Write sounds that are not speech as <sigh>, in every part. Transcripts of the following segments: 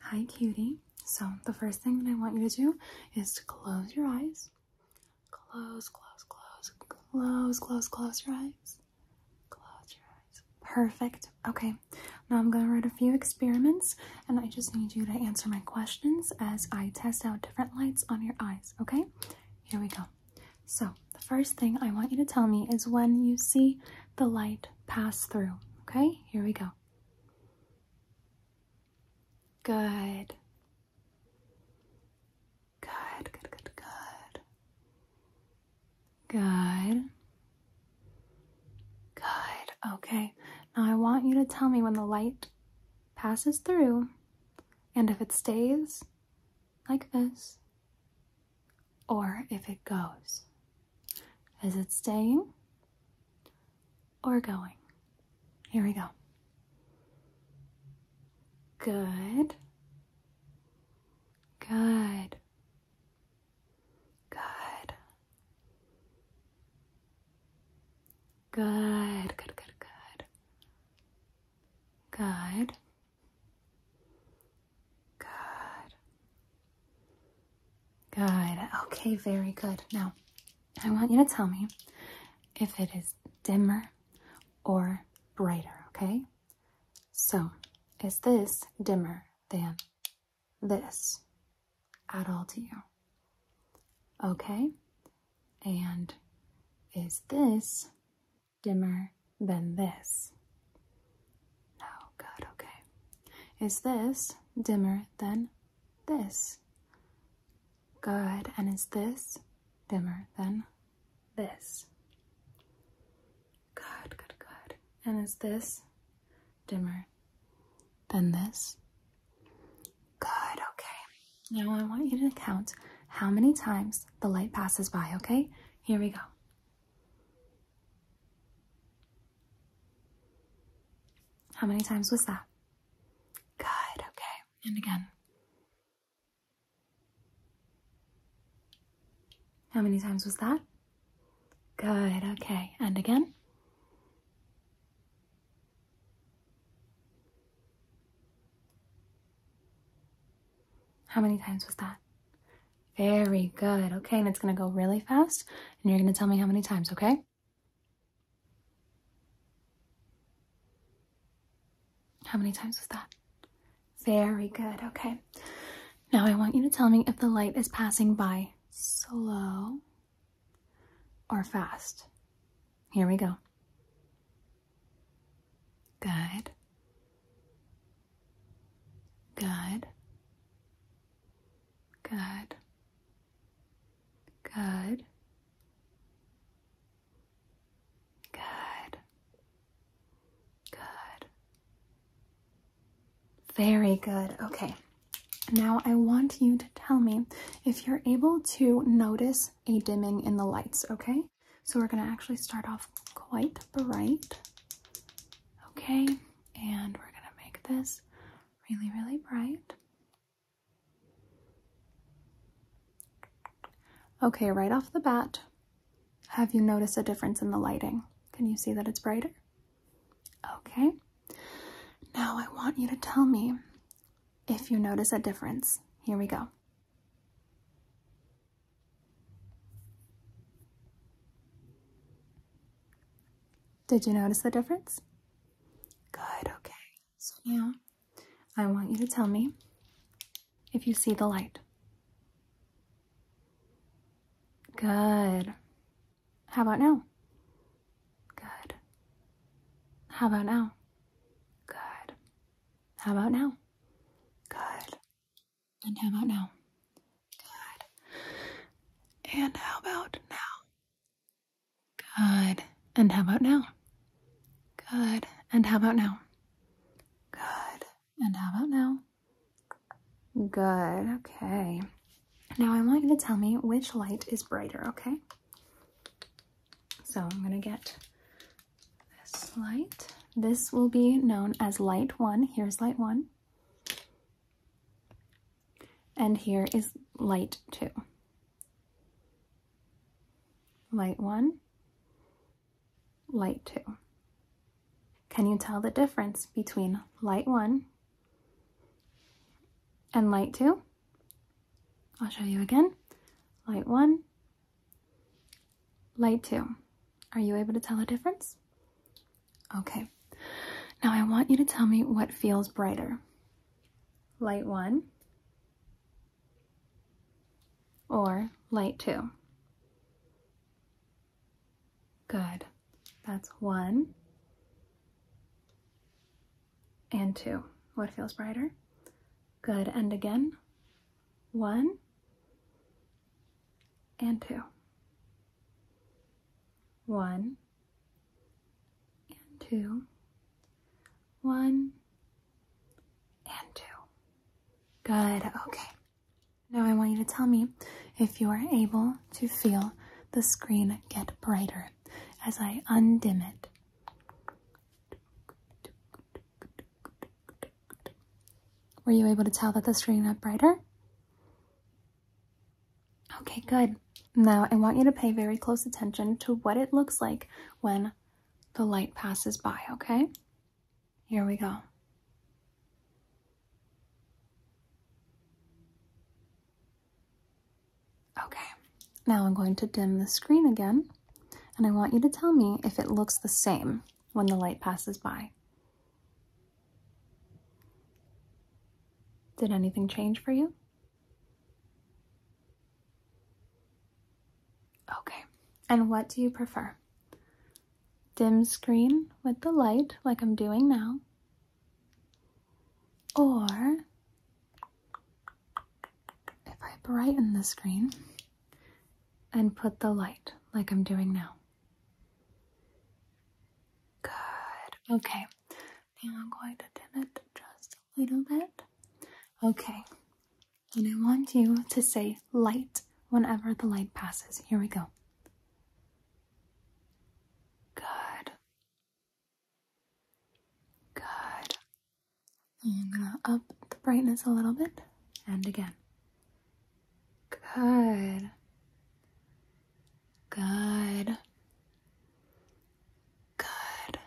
Hi, cutie. So, the first thing that I want you to do is to close your eyes. Close, close, close, close, close, close your eyes. Close your eyes. Perfect. Okay, now I'm going to write a few experiments and I just need you to answer my questions as I test out different lights on your eyes. Okay, here we go. So, the first thing I want you to tell me is when you see the light pass through. Okay, here we go. Good. Good, good, good, good. Good. Okay. Now I want you to tell me when the light passes through and if it stays like this or if it goes. Is it staying or going? Here we go. Good. Good. Good. Good. Good, good, good. Good. Good. Good. Okay, very good. Now, I want you to tell me if it is dimmer or brighter, okay? So, is this dimmer than this at all to you? Okay? And is this dimmer than this? No, oh, good, okay. Is this dimmer than this? Good, and is this dimmer than this? Good, good, good. And is this dimmer than this? Good, okay. Now I want you to count how many times the light passes by, okay? Here we go. How many times was that? Good, okay. And again. How many times was that? Good, okay. And again. How many times was that? Very good. Okay, and it's going to go really fast, and you're going to tell me how many times, okay? How many times was that? Very good. Okay. Now I want you to tell me if the light is passing by slow or fast. Here we go. Good. Good. Good. Good. Good. Good. Very good. Okay. Now I want you to tell me if you're able to notice a dimming in the lights, okay? So we're going to actually start off quite bright. Okay and we're gonna make this really, really bright. Okay, right off the bat, have you noticed a difference in the lighting? Can you see that it's brighter? Okay. Now I want you to tell me if you notice a difference. Here we go. Did you notice the difference? Good, okay. So now I want you to tell me if you see the light. Good. How about now? Good. How about now? Good. How about now? Good. And how about now? Good. And how about now? Good. And how about now? Good. And how about now? Good. And how about now? Good. Okay. Now I want you to tell me which light is brighter, okay? So I'm going to get this light. This will be known as light one. Here's light one. And here is light two. Light one, light two. Can you tell the difference between light one and light two? I'll show you again. Light one, light two. Are you able to tell the difference? Okay. Now I want you to tell me what feels brighter. Light 1 or light 2. Good. That's 1 and 2. What feels brighter? Good. And again. 1 and two. One and two. One and two. Good. Okay. Now I want you to tell me if you are able to feel the screen get brighter as I undim it. Were you able to tell that the screen got brighter? Okay, good. Now I want you to pay very close attention to what it looks like when the light passes by, okay? Here we go. Okay, now I'm going to dim the screen again, and I want you to tell me if it looks the same when the light passes by. Did anything change for you? Okay, and what do you prefer? Dim screen with the light, like I'm doing now, or if I brighten the screen and put the light, like I'm doing now. Good. Okay. Now I'm going to dim it just a little bit. Okay. And I want you to say light whenever the light passes. Here we go. Good. Good. I'm going to up the brightness a little bit. And again. Good. Good. Good.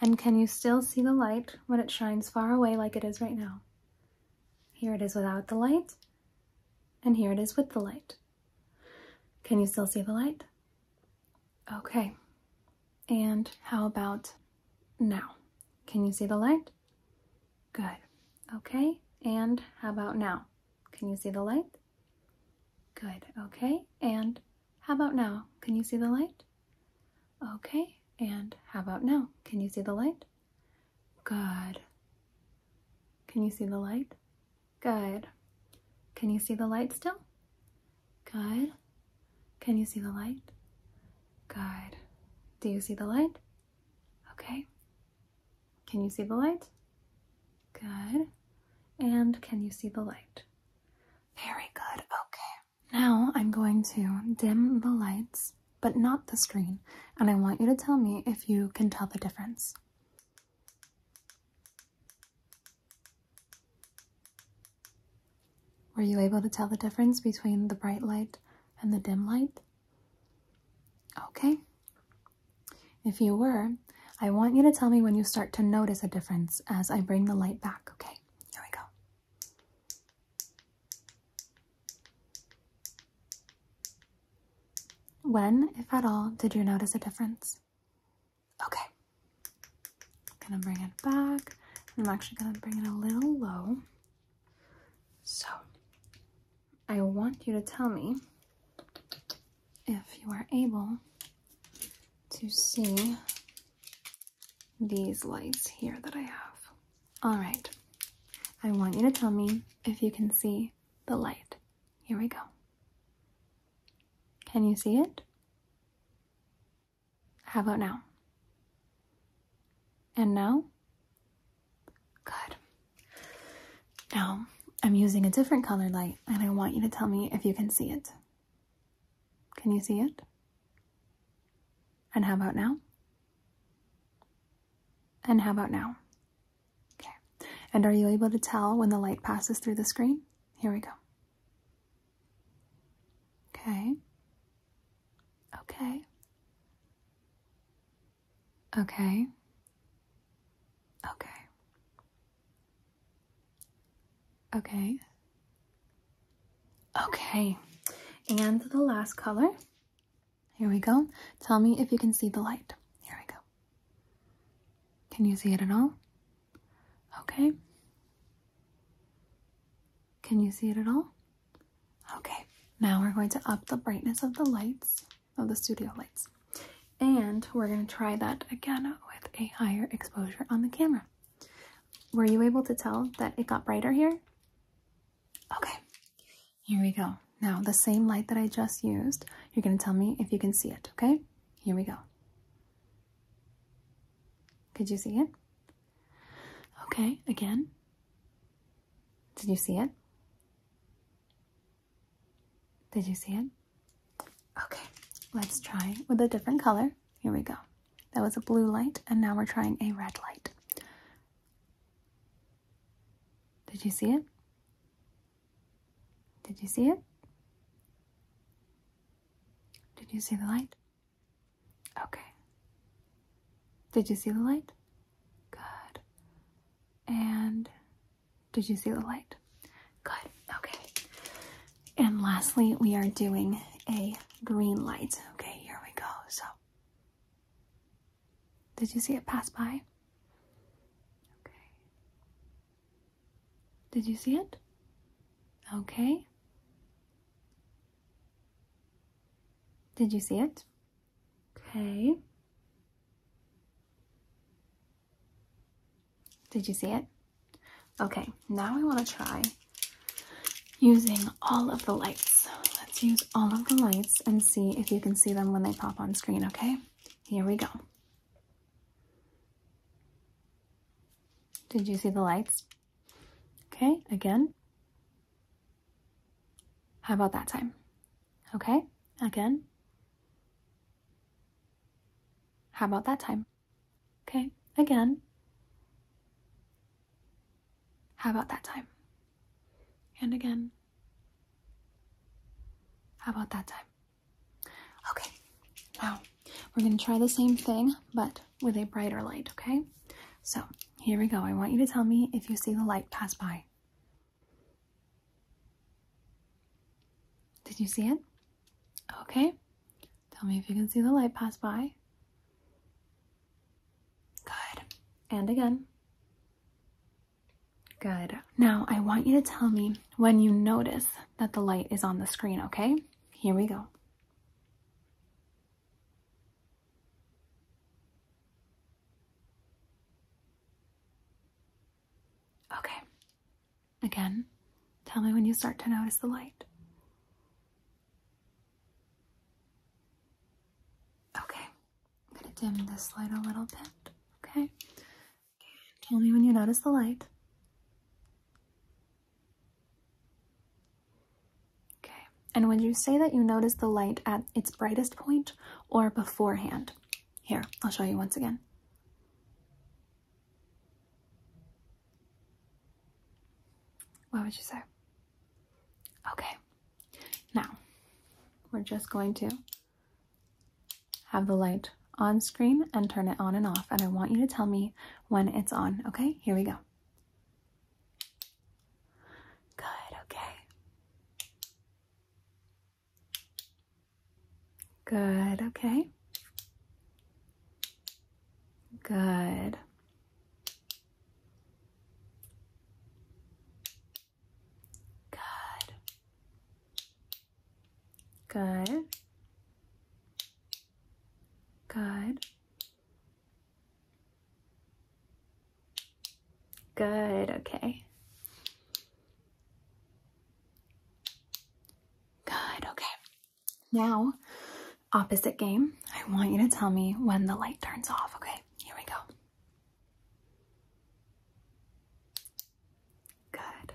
And can you still see the light when it shines far away like it is right now? Here it is without the light, and here it is with the light. Can you still see the light? Okay. And how about now? Can you see the light? Good. Okay. And how about now? Can you see the light? Good. Okay. And how about now? Can you see the light? Okay. And how about now? Can you see the light? Good. Can you see the light? Good. Can you see the light still? Good. Can you see the light? Good. Do you see the light? Okay. Can you see the light? Good. And can you see the light? Very good. Okay. Now I'm going to dim the lights, but not the screen. And I want you to tell me if you can tell the difference. Were you able to tell the difference between the bright light and the dim light? Okay. If you were, I want you to tell me when you start to notice a difference as I bring the light back, okay? Here we go. When, if at all, did you notice a difference? Okay. I'm gonna bring it back. I'm actually gonna bring it a little low so, I want you to tell me if you are able to see these lights here that I have. Alright, I want you to tell me if you can see the light. Here we go. Can you see it? How about now? And now? Good. Now, I'm using a different colored light and I want you to tell me if you can see it. Can you see it? And how about now? And how about now? Okay. And are you able to tell when the light passes through the screen? Here we go. Okay. Okay. Okay. Okay. Okay. Okay. And the last color. Here we go. Tell me if you can see the light. Here we go. Can you see it at all? Okay. Can you see it at all? Okay, now we're going to up the brightness of the lights, of the studio lights. And we're going to try that again with a higher exposure on the camera. Were you able to tell that it got brighter here? Okay, here we go. Now, the same light that I just used, you're going to tell me if you can see it, okay? Here we go. Could you see it? Okay, again. Did you see it? Did you see it? Okay, let's try with a different color. Here we go. That was a blue light, and now we're trying a red light. Did you see it? Did you see it? Did you see the light? Okay. Did you see the light? Good. And did you see the light? Good. Okay. And lastly, we are doing a green light. Okay, here we go. So, did you see it pass by? Okay. Did you see it? Okay. Did you see it? Okay. Did you see it? Okay, now we want to try using all of the lights. Let's use all of the lights and see if you can see them when they pop on screen, okay? Here we go. Did you see the lights? Okay, again. How about that time? Okay, again. How about that time? Okay, again. How about that time? And again. How about that time? Okay, now we're going to try the same thing, but with a brighter light, okay? So here we go. I want you to tell me if you see the light pass by. Did you see it? Okay. Tell me if you can see the light pass by. Good. And again. Good. Now I want you to tell me when you notice that the light is on the screen, okay? Here we go. Okay. Again, tell me when you start to notice the light. Okay. I'm going to dim this light a little bit. Okay. Tell me when you notice the light. Okay, and would you say that you notice the light at its brightest point or beforehand? Here, I'll show you once again. What would you say? Okay, now we're just going to have the light on screen and turn it on and off. And I want you to tell me when it's on. Okay, here we go. Good, okay. Good, okay. Good. Good. Good. Good. Good, okay. Good, okay. Now, opposite game. I want you to tell me when the light turns off, okay? Here we go. Good.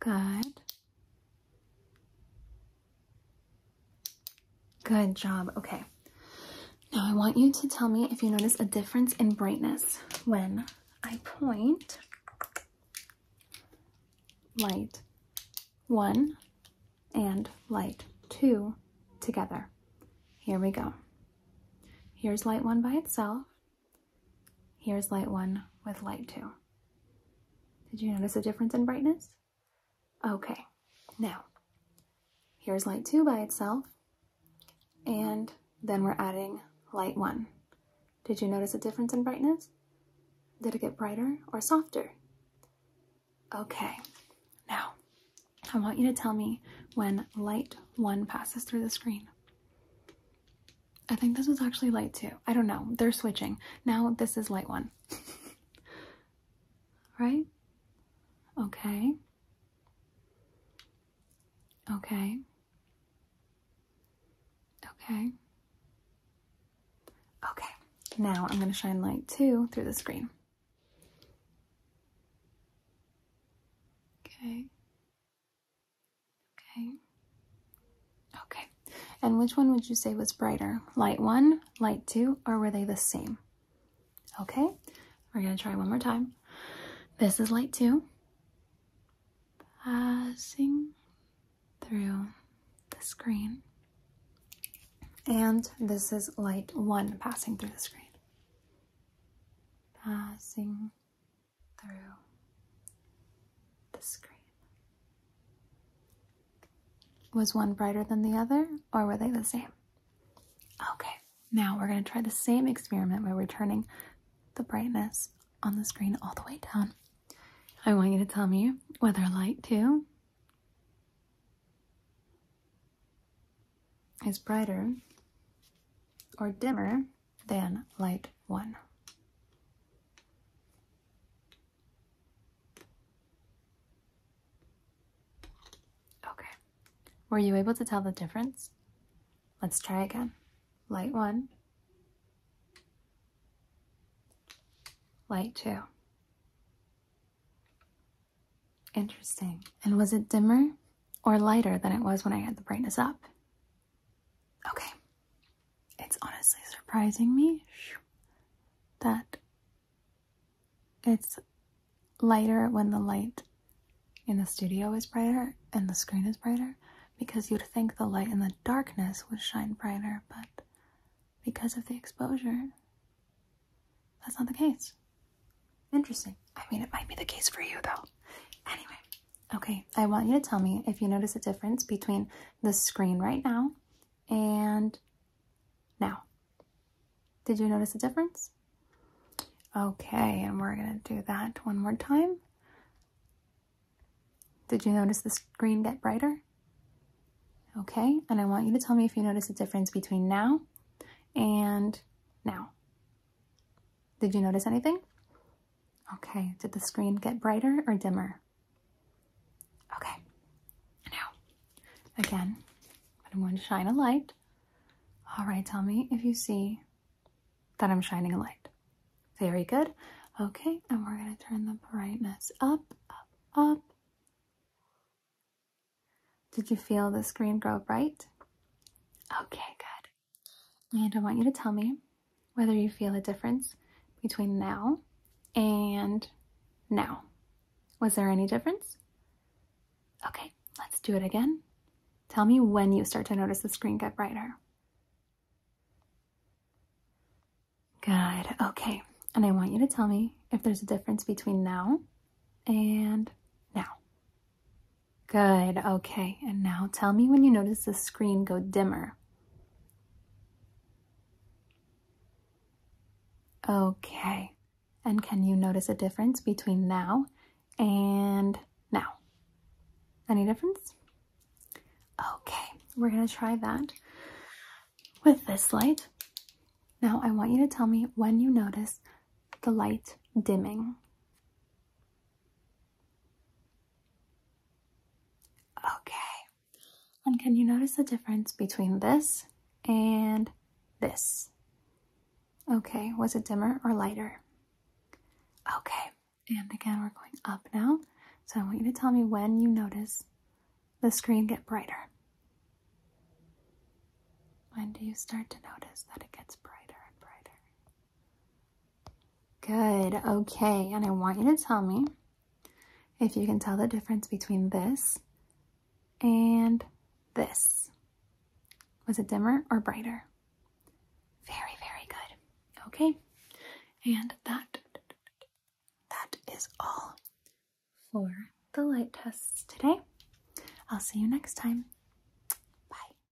Good. Good job. Okay. Now I want you to tell me if you notice a difference in brightness when I point light one and light two together. Here we go. Here's light one by itself. Here's light one with light two. Did you notice a difference in brightness? Okay, now here's light two by itself, and then we're adding light one. Did you notice a difference in brightness? Did it get brighter or softer? Okay, now I want you to tell me when light one passes through the screen. I think this was actually light too. I don't know. They're switching. Now this is light one. <laughs> right? Okay. Okay. Okay. Okay. Now I'm going to shine light two through the screen. Okay. Okay. Okay. And which one would you say was brighter? Light one, light two, or were they the same? Okay. We're going to try one more time. This is light two. Passing through the screen. And this is light one passing through the screen. Passing through the screen. Was one brighter than the other, or were they the same? Okay, now we're going to try the same experiment where we're turning the brightness on the screen all the way down. I want you to tell me whether light 2 is brighter or dimmer then light one. Okay. Were you able to tell the difference? Let's try again. Light one. Light two. Interesting. And was it dimmer or lighter than it was when I had the brightness up? Okay it's honestly surprising me that it's lighter when the light in the studio is brighter and the screen is brighter because you'd think the light in the darkness would shine brighter, but because of the exposure, that's not the case. Interesting. I mean, it might be the case for you though. Anyway. Okay, I want you to tell me if you notice a difference between the screen right now and now. Did you notice a difference? Okay, and we're gonna do that one more time. Did you notice the screen get brighter? Okay, and I want you to tell me if you notice a difference between now and now. Did you notice anything? Okay, did the screen get brighter or dimmer? Okay, now, again, I'm going to shine a light. All right, tell me if you see that I'm shining a light. Very good. Okay, and we're going to turn the brightness up, up, up. Did you feel the screen grow bright? Okay, good. And I want you to tell me whether you feel a difference between now and now. Was there any difference? Okay, let's do it again. Tell me when you start to notice the screen get brighter. Good, okay. And I want you to tell me if there's a difference between now and now. Good, okay. And now tell me when you notice the screen go dimmer. Okay. And can you notice a difference between now and now? Any difference? Okay, we're gonna try that with this light. Now I want you to tell me when you notice the light dimming. Okay. And can you notice the difference between this and this? Okay, was it dimmer or lighter? Okay, and again, we're going up now. So I want you to tell me when you notice the screen get brighter. When do you start to notice that it gets brighter and brighter? Good. Okay. And I want you to tell me if you can tell the difference between this and this. Was it dimmer or brighter? Very, very good. Okay. And that, that is all for the light tests today. I'll see you next time. Bye.